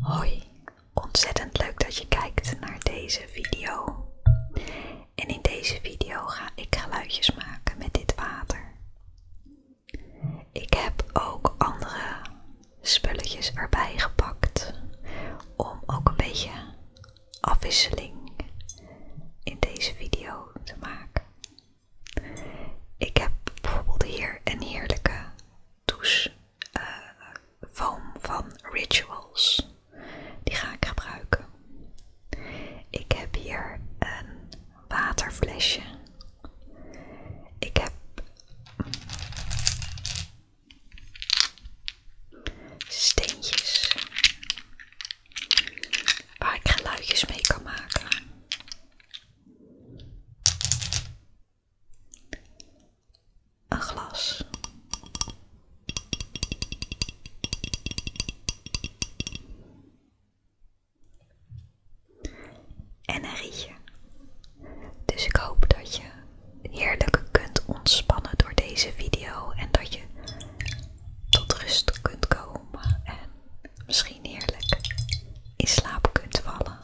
Hoi, ontzettend leuk dat je kijkt naar deze video. En in deze video ga ik geluidjes maken met dit water. Ik heb ook andere spulletjes erbij gepakt om ook een beetje afwisseling in deze video te maken. Ik heb bijvoorbeeld hier een heerlijke douche eh, foam van Rituals. Die ga ik gebruiken. Ik heb hier een waterflesje. Ik heb steentjes waar ik geluidjes mee kan maken. Een glas en een rietje. Dus ik hoop dat je heerlijk kunt ontspannen door deze video en dat je tot rust kunt komen en misschien heerlijk in slaap kunt vallen.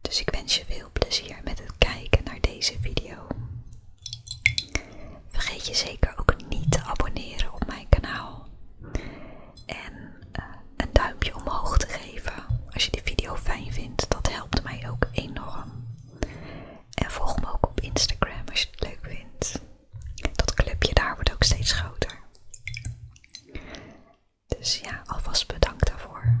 Dus ik wens je veel plezier met het kijken naar deze video. Vergeet je zeker ook niet te abonneren op mijn kanaal. En eh, een duimpje omhoog te geven als je de video fijn vindt. Dat helpt mij ook enorm. En volg me ook op Instagram als je het leuk vindt. Dat clubje daar wordt ook steeds groter. Dus ja, alvast bedankt daarvoor.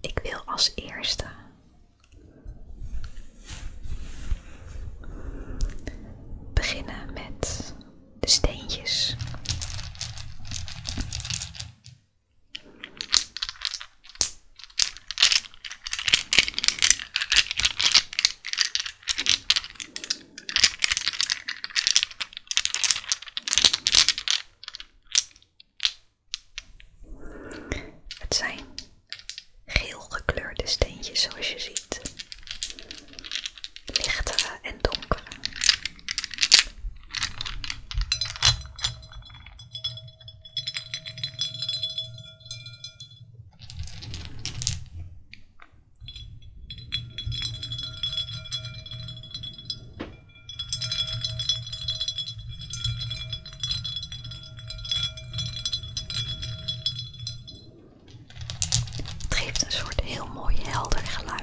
Ik wil als eerste beginnen met de steentjes. Het zijn geel gekleurde steentjes zoals je ziet. Lichtere en donkere. Het geeft een soort heel mooi helder geluid.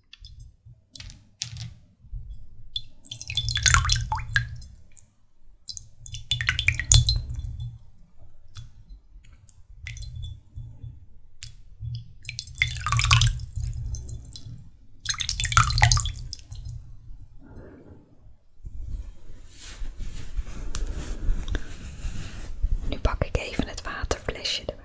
Nu pak ik even het waterflesje erbij.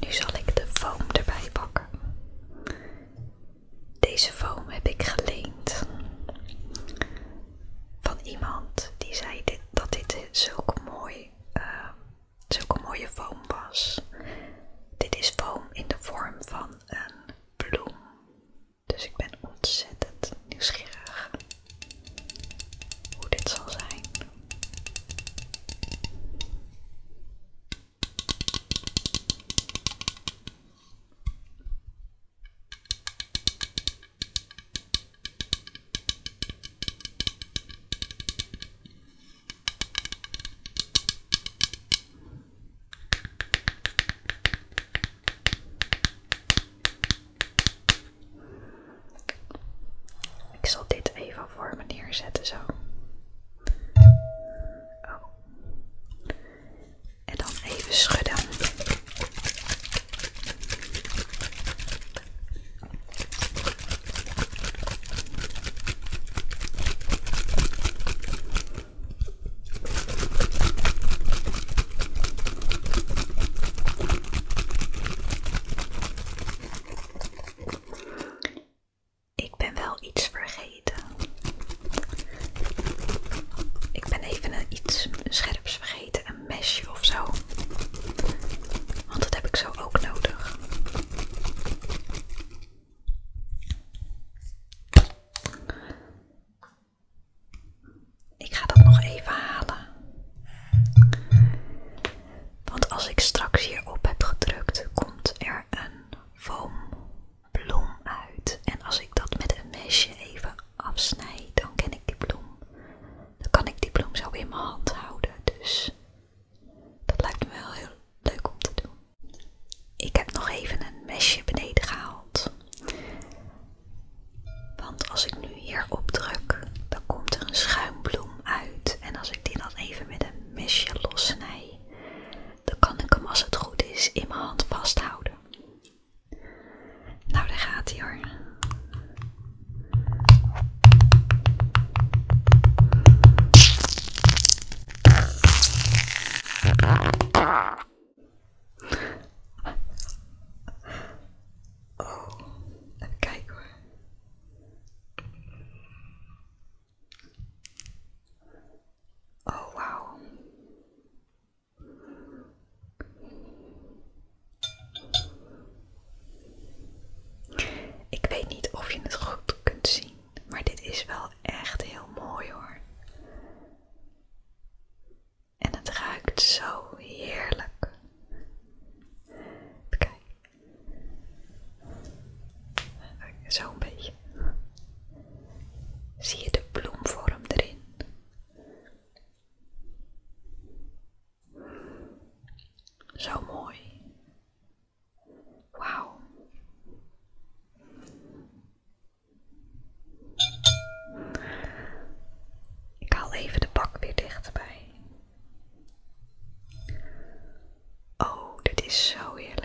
Nu zal ik de foam erbij pakken. Deze foam heb ik geleend van iemand die zei dat dit zulke, eh, zulke mooie foam was. Dit is foam in de vorm van een bloem. Dus ik ben ontzettend nieuwsgierig hoe dit zal zijn. Ik zal dit even voor me neerzetten zo. Oh. En dan even schudden. Ik ben wel iets vergeten. Ik ben even een iets scherps vergeten, een mesje of zo. Want dat heb ik zo ook nodig. Ik ga dat nog even halen. Want als ik straks hierop heb gedrukt, komt er een foambloem uit. En als ik dat met een mesje even afsnijd, dan ken ik die bloem. Dan kan ik die bloem zo in mijn hand houden. Dus dat lijkt me wel heel leuk om te doen. Ik heb nog even een mesje beneden gehaald. Want als ik nu hierop druk, dan komt er een schuimbloem uit. En als ik die dan even met een mesje lossnij, dan kan ik hem als het goed is in mijn hand vasthouden. Nou, daar gaat hij hoor. Oh, even kijken hoor. Oh, wow. Ik weet niet of je het goed kunt zien. Maar dit is wel echt heel mooi hoor. En het ruikt zo heerlijk. Kijk. Zo een beetje. Zie je de bloemvorm erin? Zo mooi. Wauw. Ik haal even de bak weer dichtbij. Oh, dit is zo heerlijk.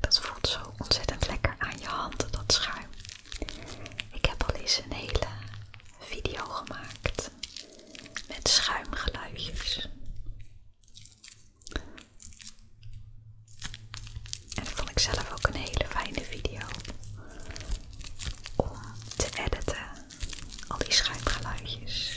Dat voelt zo ontzettend lekker aan je handen, dat schuim. Ik heb al eens een hele video gemaakt met schuimgeluidjes. En dat vond ik zelf ook een hele fijne video om te editen, al die schuimgeluidjes.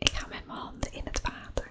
Ik ga met mijn handen in het water.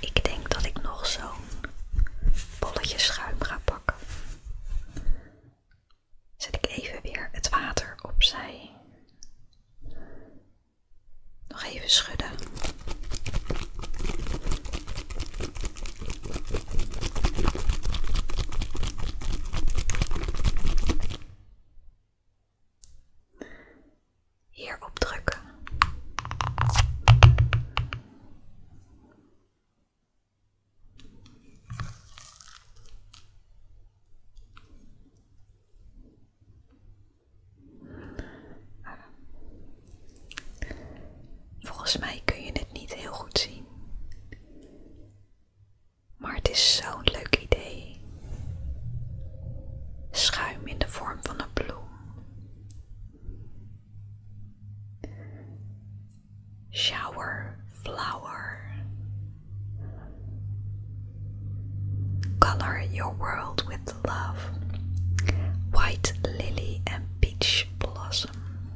Ik denk dat ik nog zo'n bolletje schuim ga Zet ik even weer het water opzij. Nog even schudden. Hierop drukken. Volgens mij kun je het niet heel goed zien. Maar het is zo'n leuk idee. Schuim in de vorm van een bloem. shower flower color your world with love white lily and peach blossom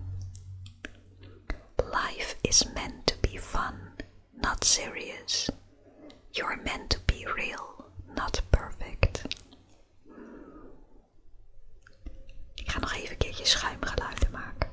life is meant to be fun not serious you're meant to be real not perfect Ik ga nog even een keertje schuimgeluiden maken.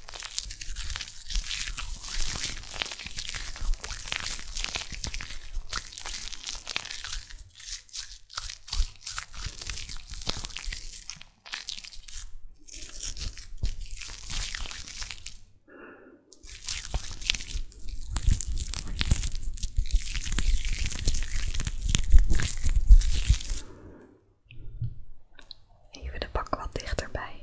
Even de bak wat dichterbij.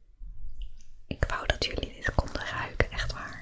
Ik wou dat jullie dit konden ruiken, echt waar.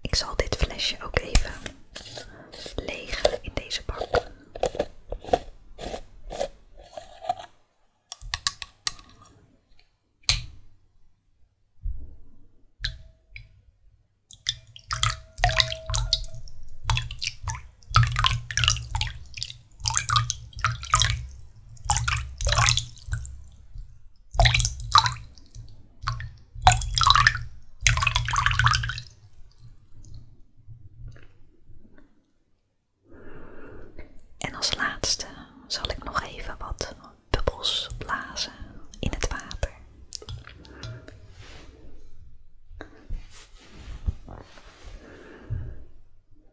Ik zal dit flesje ook even leeg in deze bak. En als laatste zal ik nog even wat bubbels blazen in het water.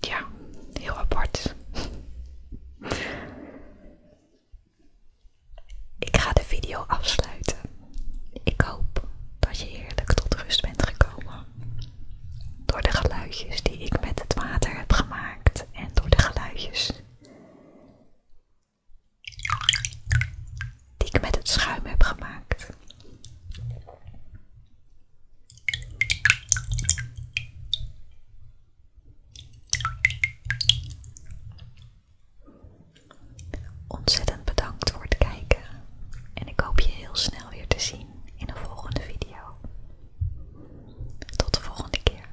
Ja, heel apart. Ik ga de video afsluiten. Ik hoop dat je heerlijk tot rust bent gekomen. Door de geluidjes die ik met het water heb gemaakt en door de geluidjes die ik met het schuim heb gemaakt. Ontzettend bedankt voor het kijken en ik hoop je heel snel weer te zien in een volgende video. Tot de volgende keer.